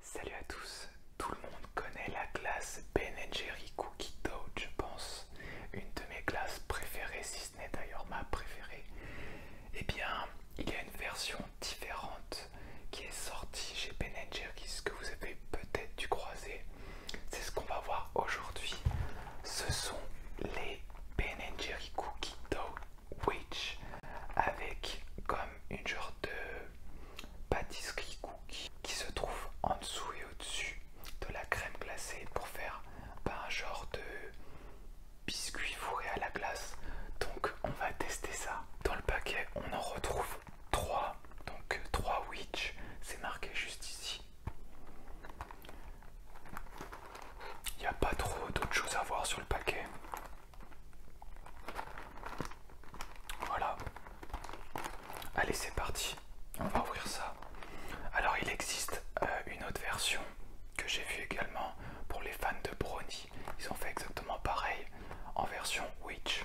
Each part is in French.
Salut à tous, tout le monde connaît la classe Ben Jerry Cookie Dough, je pense, une de mes classes préférées, si ce n'est d'ailleurs ma préférée. Eh bien, il y a une version différente qui est sortie chez Ben ce que vous avez peut-être dû croiser, c'est ce qu'on va voir aujourd'hui. Ce sont les Ben Jerry Cookie Dough Witch avec comme une genre de pâtisserie cookie qui se trouve en dessous et au-dessus de la crème glacée pour faire ben, un genre de biscuit fourré à la glace. Donc on va tester ça. Dans le paquet, on en retrouve 3. Donc 3 euh, Witch, c'est marqué juste ici. Il n'y a pas trop d'autres choses à voir sur le paquet. Voilà. Allez, c'est parti. On va ouvrir ça. Alors, il existe euh, une autre version que j'ai vue également pour les fans de Brony. Ils ont fait exactement pareil en version Witch.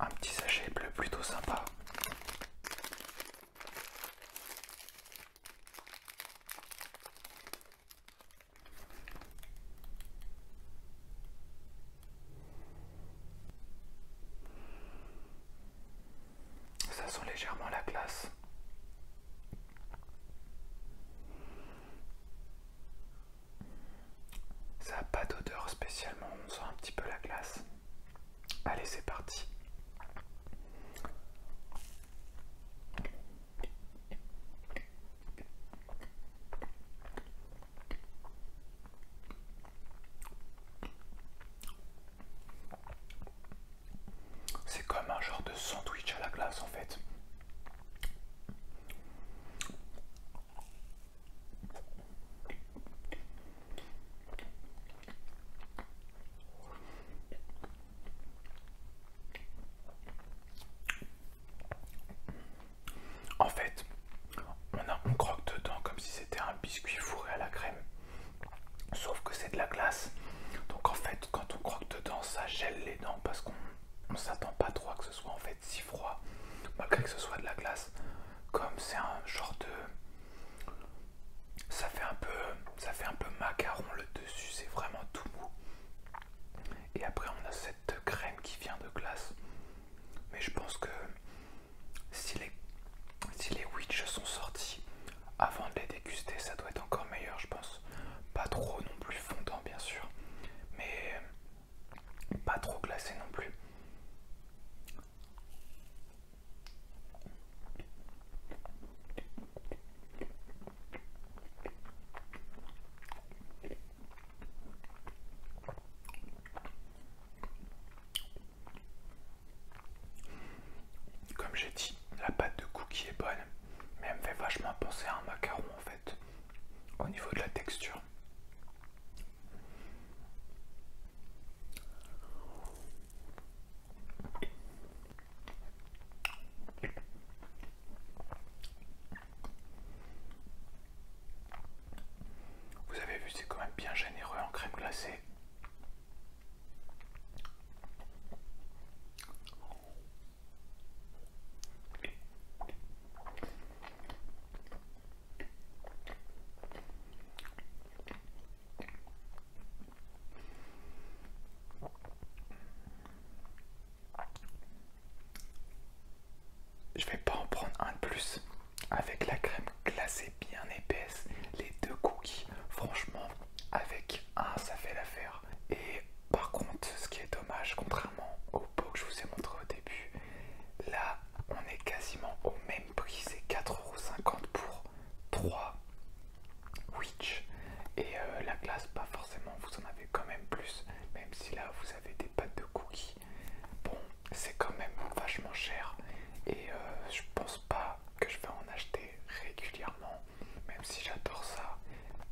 Un petit sachet bleu plutôt sympa. Ça sent légèrement la glace. Ça n'a pas d'odeur spécialement, on sent un petit peu la glace. Allez, c'est parti. C'est comme un genre de sandwich à la glace en fait. En fait, on, croque dedans comme si c'était un biscuit fourré à la crème. Sauf que c'est de la glace. Donc en fait, quand on croque dedans, ça gèle les dents parce qu'on ne s'attend pas trop à que ce soit en fait si froid, malgré que ce soit de la glace. Comme c'est un genre de... Ça fait un peu, ça fait un peu macaron le dessus, c'est vraiment tout mou. Et après, on a cette crème qui vient de glace. Mais je pense que si les, si sont sortis avant de les déguster, ça doit être encore meilleur, je pense. Pas trop non plus fondant, bien sûr, mais pas trop glacé non plus. Comme j'ai dit, la pâte de cookie est bonne, mais elle me fait vachement penser à un macaron en fait, au niveau de la texture. Vous avez vu, c'est quand même bien généreux en crème glacée. Je vais pas en prendre un de plus. Avec la crème glacée bien épaisse, les deux cookies, franchement, avec un, ça fait l'affaire. Et par contre, ce qui est dommage, contrairement au pot que je vous ai montré au début, là, on est quasiment au même prix, c'est 4,50€ pour 3 Witch et euh, la glace, pas forcément, vous en avez quand même plus, même si là vous avez des pâtes de cookies. Bon, c'est quand même vachement cher et euh, je pense pas que je vais en acheter régulièrement, même si j'adore ça.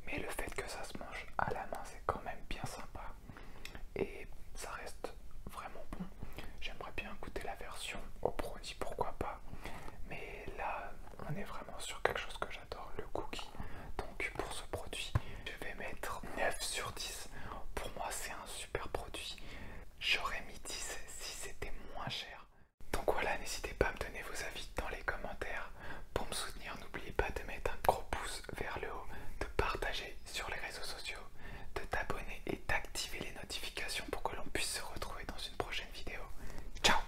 Mais le fait que ça se mange à la main, c'est quand même bien sympa et ça reste vraiment bon. J'aimerais bien goûter la version au produit, pourquoi pas. Mais là, on est vraiment sur quelque chose que j'adore, le cookie. Donc pour ce produit, je vais mettre 9 sur 10. Pour moi, c'est un super produit. J'aurais mis 10 si c'était moins cher. Donc voilà, n'hésitez pas à me donner vos avis dans les commentaires. Pour me soutenir, n'oubliez pas de mettre un gros pouce vers le haut, de partager sur les réseaux sociaux, de t'abonner et d'activer les notifications pour que l'on puisse se retrouver dans une prochaine vidéo. Ciao